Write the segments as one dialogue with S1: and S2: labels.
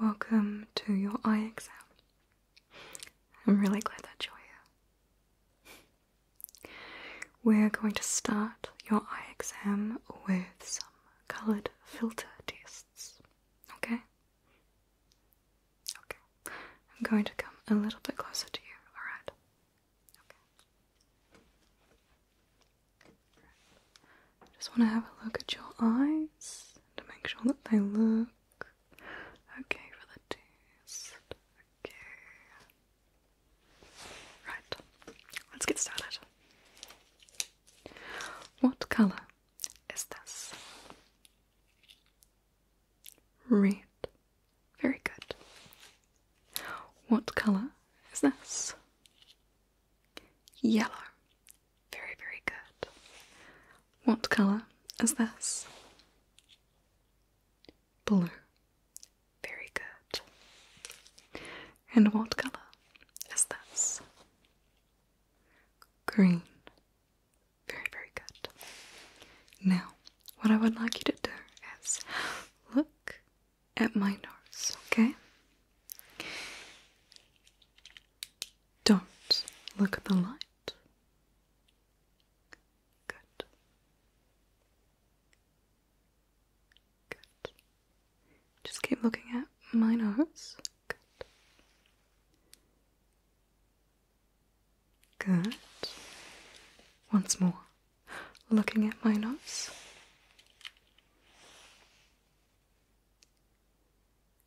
S1: Welcome to your eye exam. I'm really glad that you're here. We're going to start your eye exam with some coloured filter tests, okay? Okay. I'm going to come a little bit closer to you, alright? Okay. Right. Just want to have a look at your eyes to make sure that they look okay for the test. Okay. Right. Let's get started. What colour is this? Red. Very good. What colour is this? Yellow. Very, very good. What colour is this? Blue. Very good. And what colour is this? Green. Very, very good. Now, what I would like you to do is look at my nose, okay? Don't look at the light. Good. Good. Just keep looking at my nose. Good. Good. Once more, looking at my nose.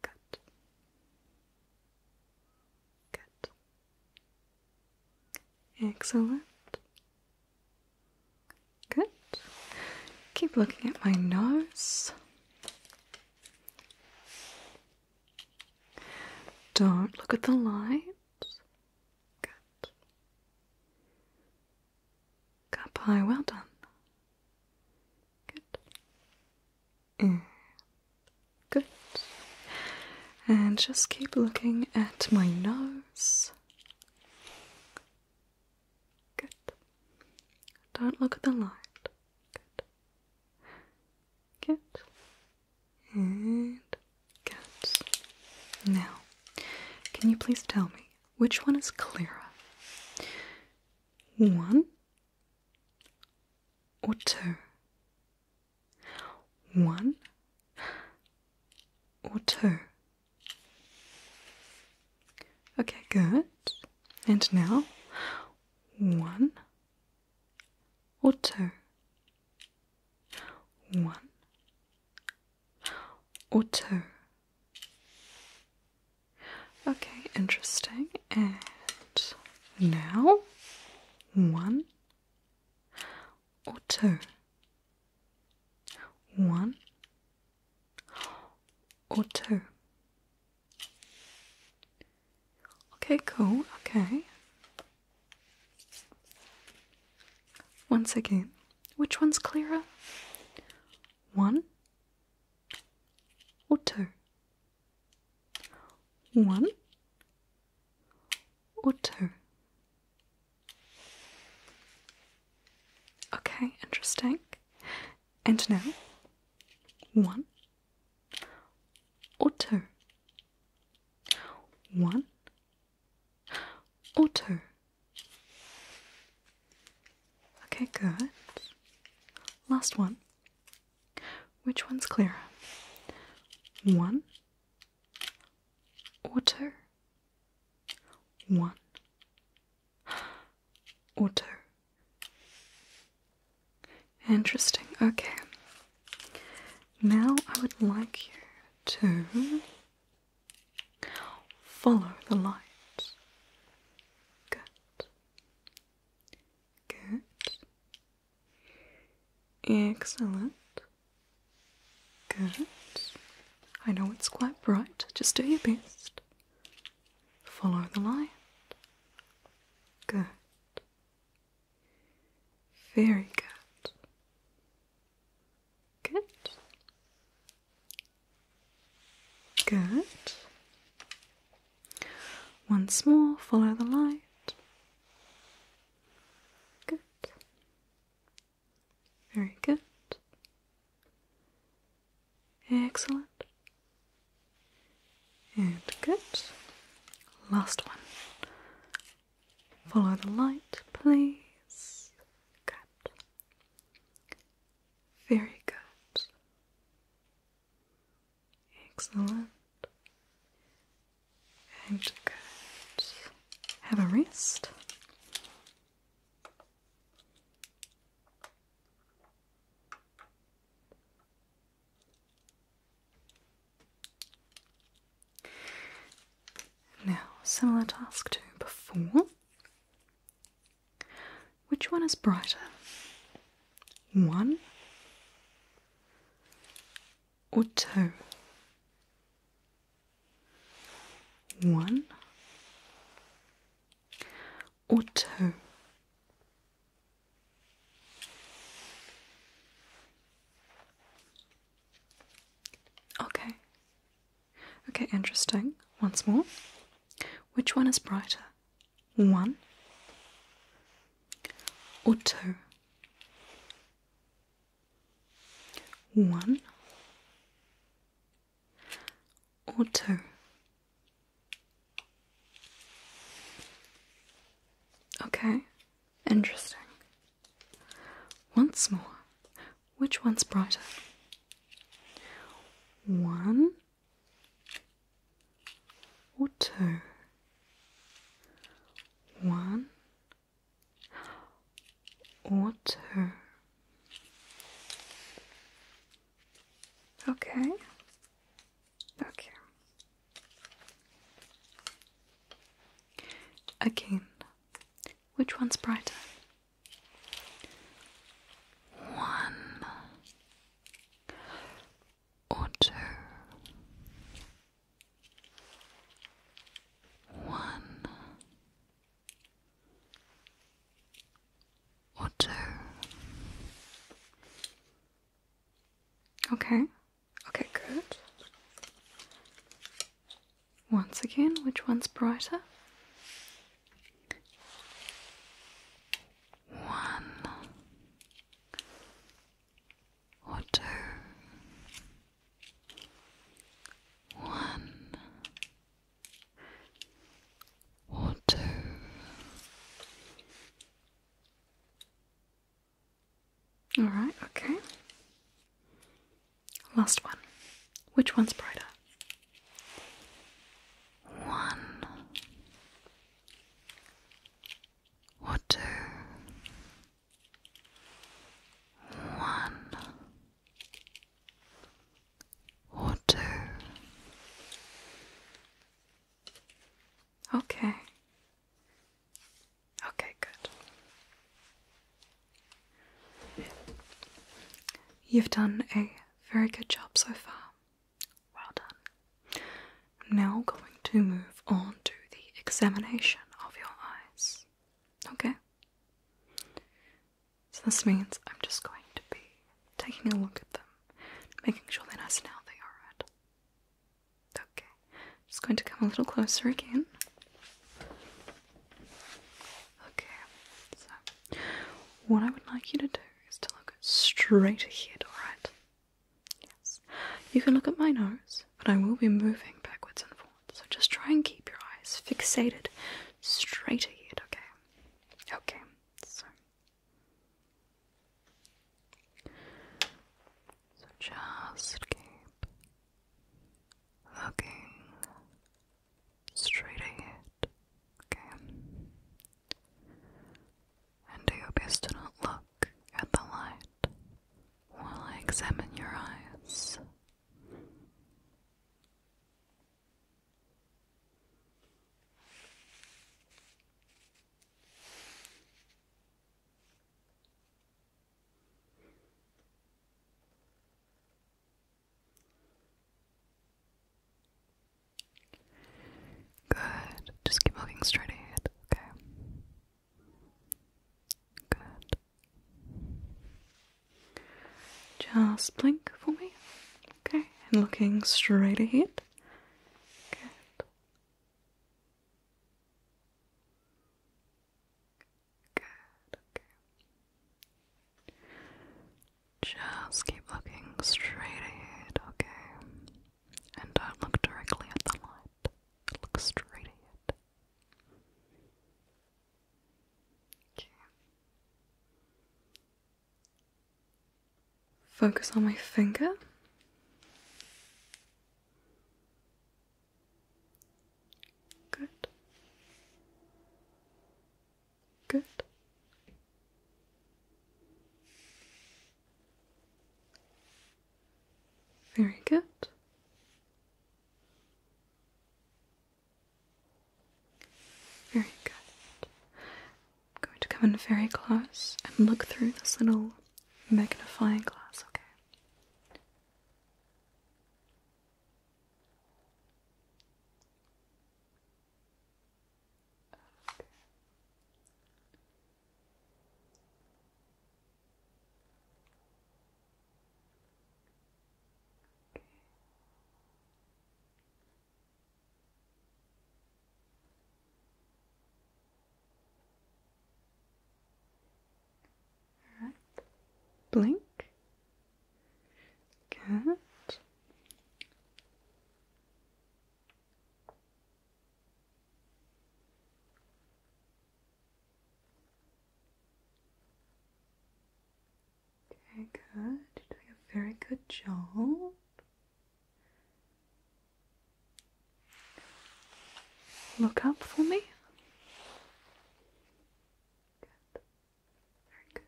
S1: Good. Good. Excellent. Good. Keep looking at my nose. Don't look at the light. Good. Cup high, well done. Good. And good. And just keep looking at my nose. Good. Don't look at the light. Good. Good and cats. Now, can you please tell me which one is clearer? One or two? One or two? Okay, good. And now, one or two? one or two. Okay, interesting. And now one or two. One or two. Okay, cool, okay. Once again, which one's clearer? One or two? One or two? Okay, interesting. And now, one otter one otter okay good last one which one's clearer? one otter one otter Interesting. Okay. Now I would like you to follow the light. Good. Good. Excellent. Good. I know it's quite bright. Just do your best. Follow the light. Good. Very good. Good. Good. Once more, follow the light. Good. Very good. Excellent. And good. Last one. Follow the light, please. Good. Very good. Excellent. And good. Have a rest. Now, similar task to before. Which one is brighter? One or two? One or two? Okay. Okay, interesting. Once more. Which one is brighter? One or two? One or two? Okay, interesting. Once more. Which one's brighter? One or two? One or two? Okay, Okay. Again, which one's brighter? One or two. One or two. Okay. Okay, good. Once again, which one's brighter? One or two. One or two. Alright, okay. Last one. Which one's brighter? One or two. One or two. Okay. Okay, good. You've done a very good job so far. Well done. i now going to move on to the examination of your eyes. Okay? So this means I'm just going to be taking a look at them, making sure they're nice and healthy, alright? Okay, just going to come a little closer again. Okay, so what I would like you to do is to look straight ahead, alright? Yes. You can look at my nose, but I will be moving backwards and forwards, so just try and keep your eyes fixated straight ahead, okay? Okay, so so just keep looking straight ahead, okay? And do your best to not look at the light while I examine your eyes. Good. Just keep looking straight ahead, okay? Good. Just blink for me, okay? And looking straight ahead. Good. Good, okay. Just keep looking straight ahead, okay? And don't look directly at the light. Look straight ahead. Okay. Focus on my finger. Good. Good. Very good. Very good. I'm going to come in very close and look through this little magnifying glass, Okay. All right. Blink. Good. Okay, good. You're doing a very good job. Look up for me. Good. Very good.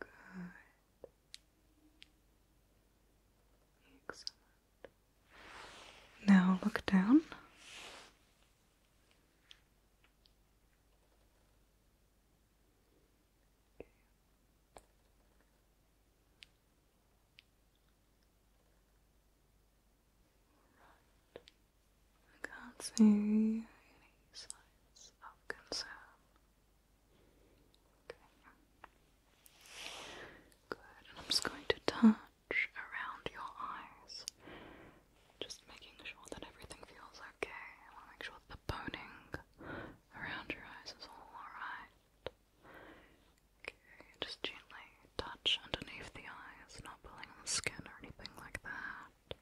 S1: Good. Excellent. Now look down. I can't see any signs of concern. Good. I'm just going to touch around your eyes just making sure that everything feels okay. I want to make sure that the boning around your eyes is all alright. Okay, just gently touch underneath the eyes, not pulling on the skin or anything like that.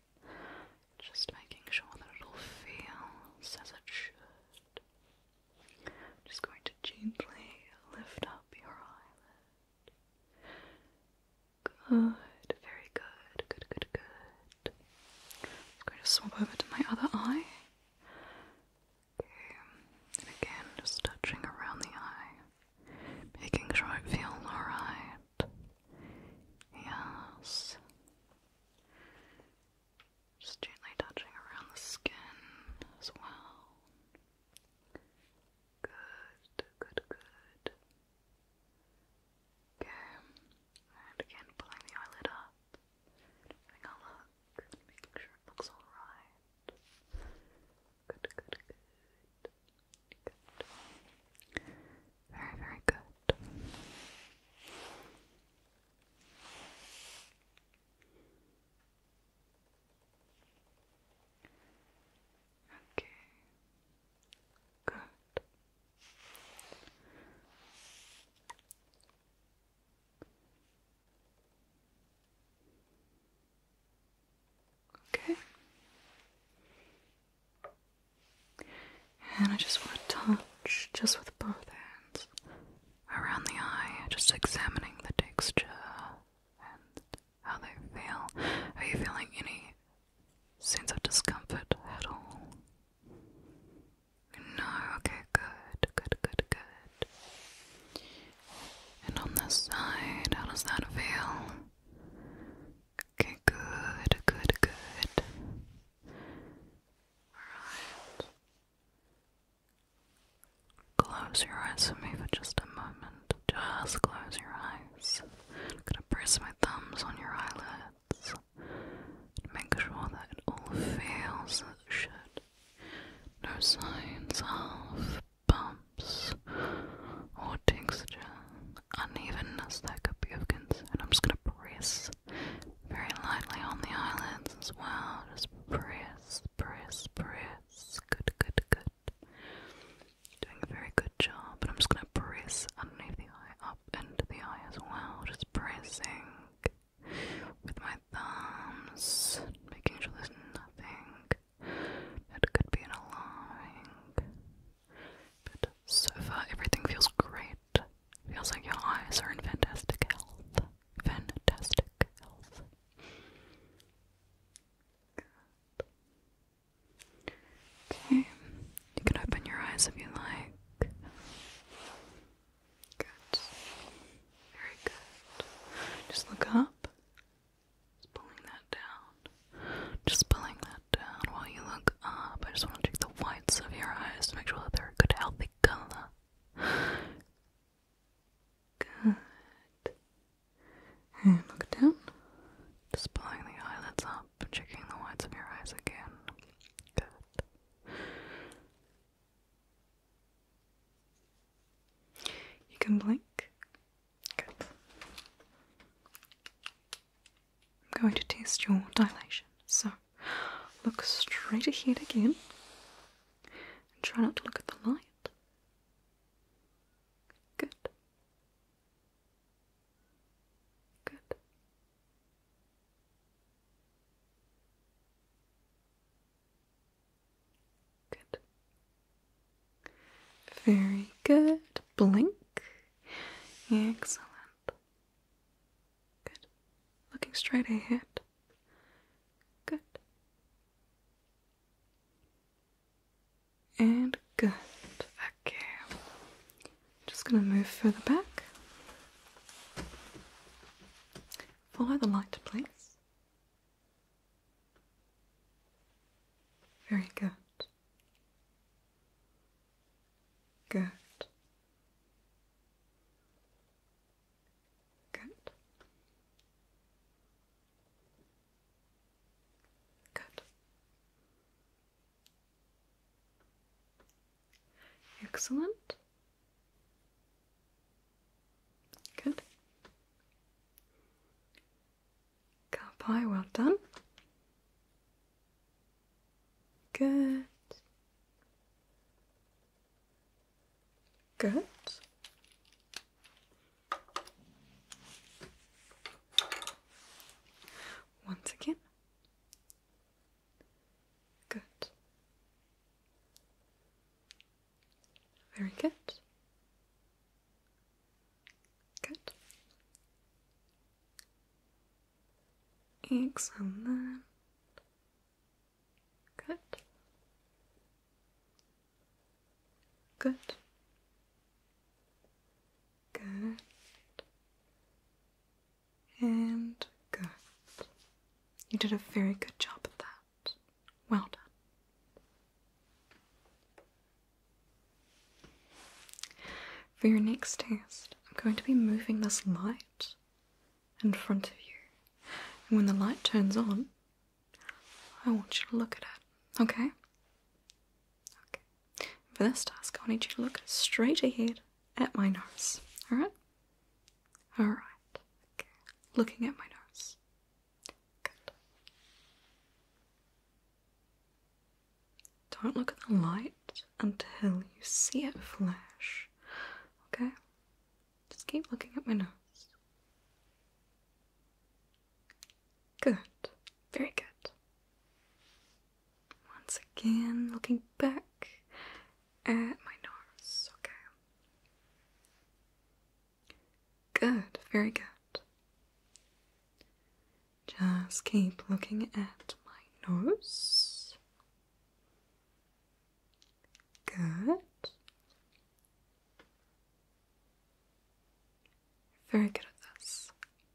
S1: Just making sure that it all feels as it should. just going to gently lift up your eyelid. Good, very good, good, good, good. I'm going to swap over to my other eye. Okay, and again, just touching around the eye, making sure it feels alright. Yes. Just gently touching around the skin as well. Good, good, good. Go and again pulling the eyelid up, having a look, making sure it looks alright. Good, good, good. Good. Very, very good. Okay, Good. Okay. And I just want to touch, just with both hands, around the eye, just examining the texture and how they feel. Are you feeling any sense of discomfort at all? No, okay, good, good, good, good. And on this side, how does that feel? Okay, good, good, good. Alright. Close your eyes for me for just a moment. Just close your eyes. I'm gonna press my thumbs on your eyelids make sure that it all feels as No signs of bumps or texture, unevenness that could be of concern. I'm just gonna press very lightly on the eyelids as well. Just press, press, press. Good, good, good doing a very good job, but I'm just gonna press underneath the eye, up into the eye as well. Just pressing with my thumbs, making sure there's nothing that could be an alarming. But so far, everything feels great. Feels like your eyes are in fantastic health. Fantastic health. Okay, you can open your eyes if you like. Good. Very good. Just look up. Just pulling that down. Just pulling that down while you look up. I just want to check the whites of your eyes to make sure that they're a good, healthy color. Good. And look down. Just pulling the eyelids up checking the whites of your eyes again. Good. You can blink. Good. I'm going to test your dilation. So, look straight ahead again. And try not to look at the light. Good. Good. Good. Very good. Blink. Excellent. Good. Looking straight ahead. Good and good. Okay, just going to move further back. Follow the light, please. Very good. Good. Good. Good. Excellent. Good. Cow well done. Good. Good. Once again. Good. Very good. Good. Excellent. Good. Good. Good. And good. You did a very good job at that. Well done. For your next test, I'm going to be moving this light in front of you. And when the light turns on, I want you to look at it. Okay? Okay. For this task, I need you to look straight ahead at my nose. Alright? Alright. Okay. Looking at my nose. Good. Don't look at the light until you see it flash. Okay? Just keep looking at my nose. Good. Very good. Once again, looking back at my nose. Okay. Good. Very good. Just keep looking at my nose. Good. Very good at this.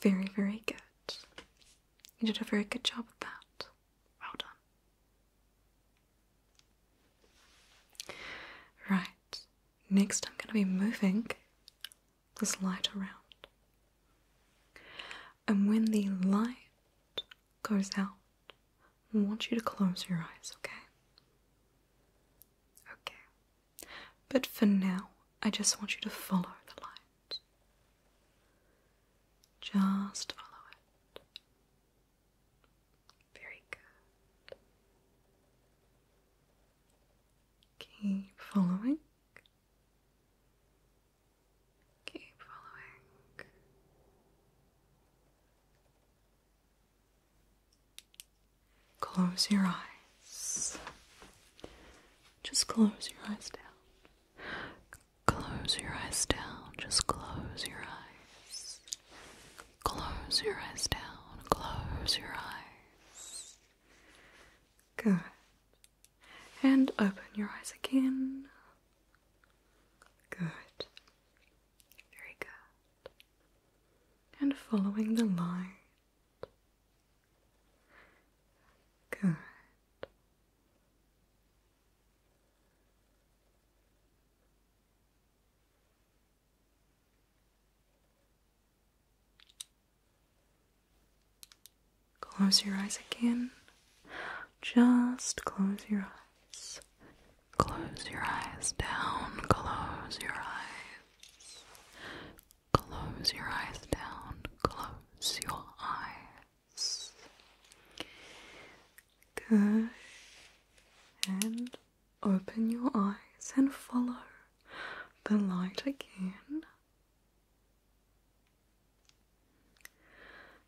S1: Very, very good. You did a very good job of that. Well done. Right, next I'm going to be moving this light around. And when the light goes out, I want you to close your eyes, okay? Okay. But for now, I just want you to follow the light. Just follow it. Very good. Keep following. Keep following. Close your eyes. Just close your eyes down. Close your eyes down. Just close your eyes. Close your eyes down. Close your eyes. Good. And open your eyes again. Good. Very good. And following the light. Good. Close your eyes again. Just close your eyes. Close your eyes down. Close your eyes. Close your eyes down. Close your eyes. Good. And open your eyes and follow the light again.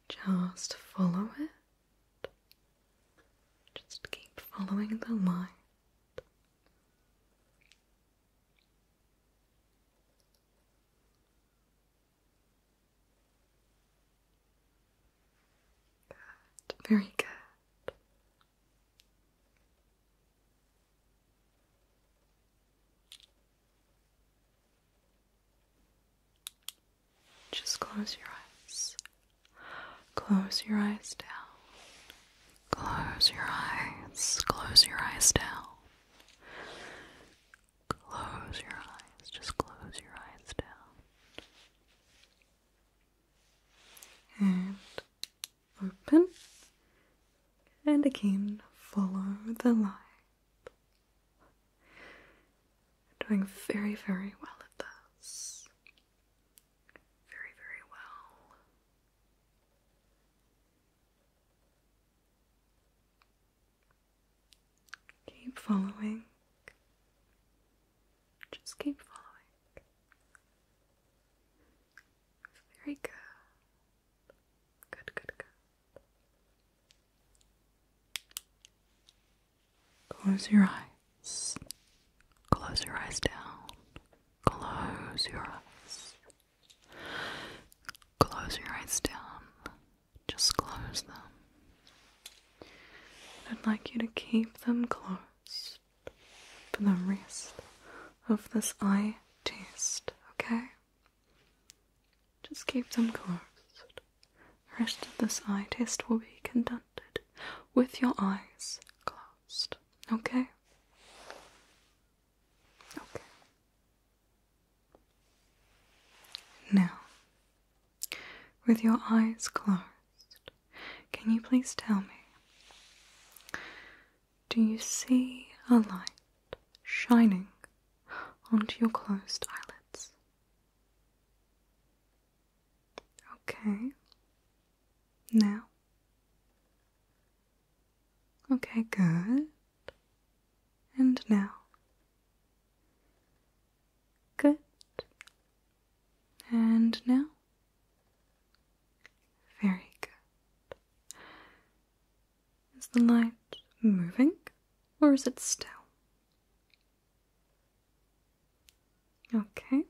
S1: Just follow it. Just keep following the line. Good, very good. Just close your eyes. Close your eyes down. Close your eyes. Close your eyes down. Close your eyes. Just close your eyes down. And open. And again, follow the light. You're doing very, very well at this. Very, very well. Keep following. Just keep following. Very good. Good, good, good. Close your eyes. Close your eyes down. Close your eyes. Close your eyes down. Just close them. I'd like you to keep them closed for the rest of this eye test, okay? Just keep them closed. The rest of this eye test will be conducted with your eyes closed. Okay? Okay. Now, with your eyes closed, can you please tell me? Do you see a light shining onto your closed eyelids? Okay. Now. Okay, good. And now. Good. And now. Very good. Is the light moving or is it still? Okay.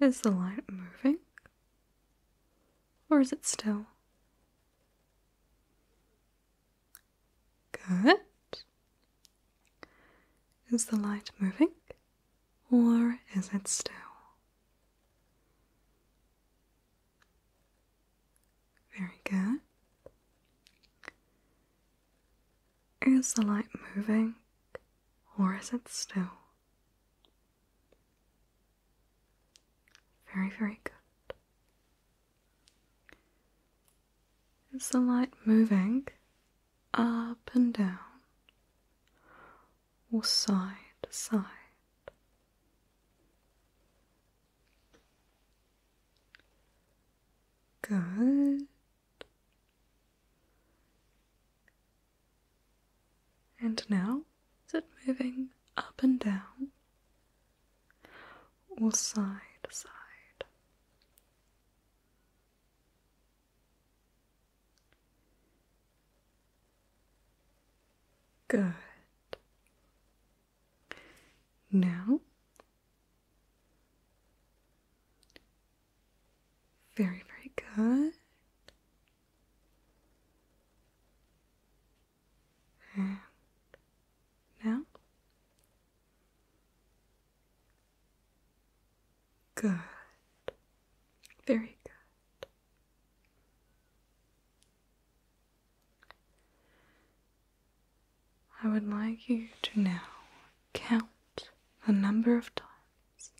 S1: Is the light moving? Or is it still? Good. Is the light moving? Or is it still? Very good. Is the light moving or is it still? Very, very good. Is the light moving up and down or side to side? Good. And now, is it moving up and down or side to side? Good. Now, very, very good. And now, good, very good. I would like you to now count the number of times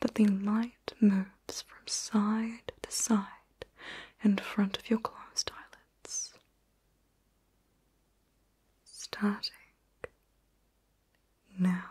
S1: that the light moves from side to side in front of your closed eyelids. Starting now.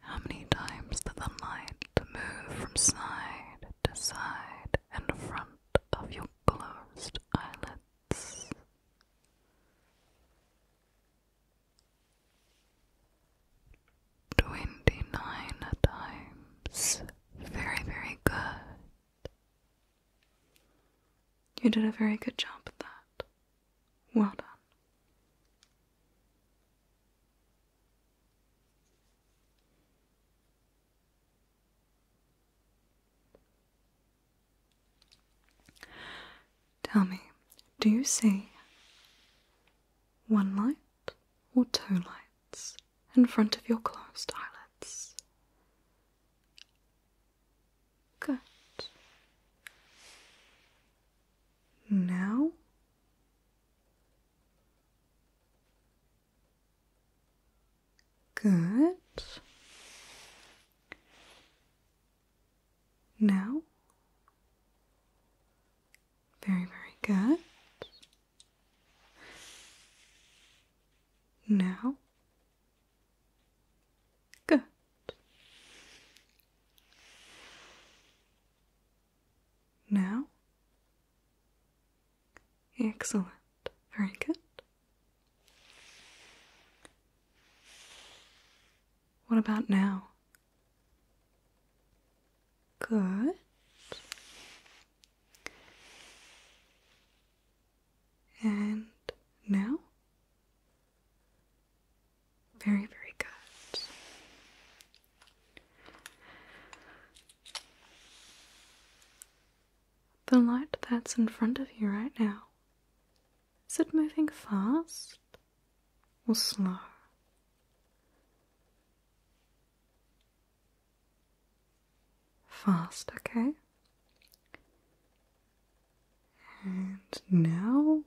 S1: How many times did the light move from side to side in front of your closed eyelids? Twenty nine times. Very, very good. You did a very good job at that. Well done. Tell me, do you see one light or two lights in front of your closed eyelids? Good. Now? Good. Now? Very, very good. Now? Good. Now? Excellent. Very good. What about now? Good. And now? Very, very good. The light that's in front of you right now, is it moving fast or slow? Fast, okay? And now,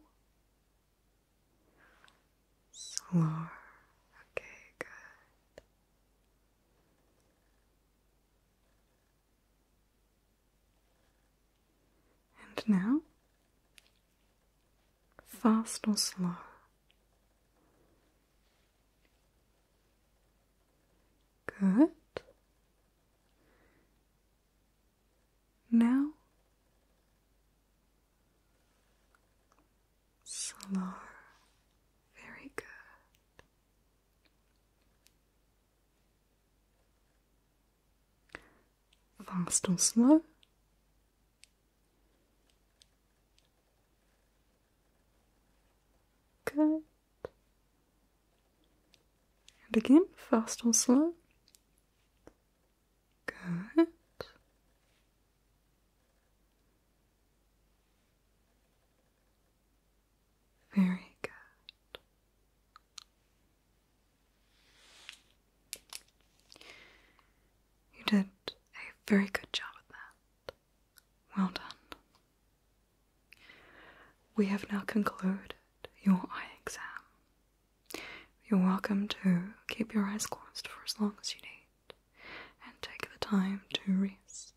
S1: slow. Okay, good. And now, fast or slow. Good. Now, slow. Very good. Fast or slow? Good. And again, fast or slow. Good. Very good. You did a very good job at that. Well done. We have now concluded your eye exam. You're welcome to keep your eyes closed for as long as you need and take the time to rest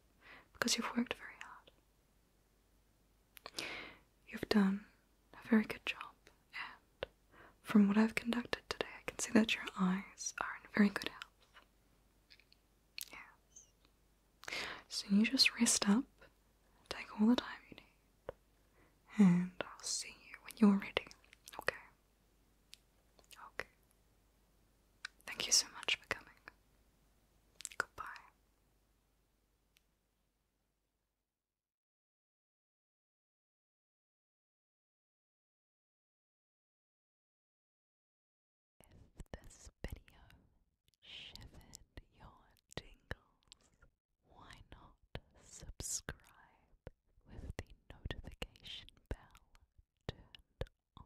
S1: because you've worked very hard. You've done a very good job, and from what I've conducted today, I can see that your eyes are in very good health. Yes. So you just rest up, take all the time you need, and I'll see you when you're ready, okay? Okay. Thank you so much for coming. Goodbye. If this video shivered your tingles, why not subscribe with the notification bell turned on?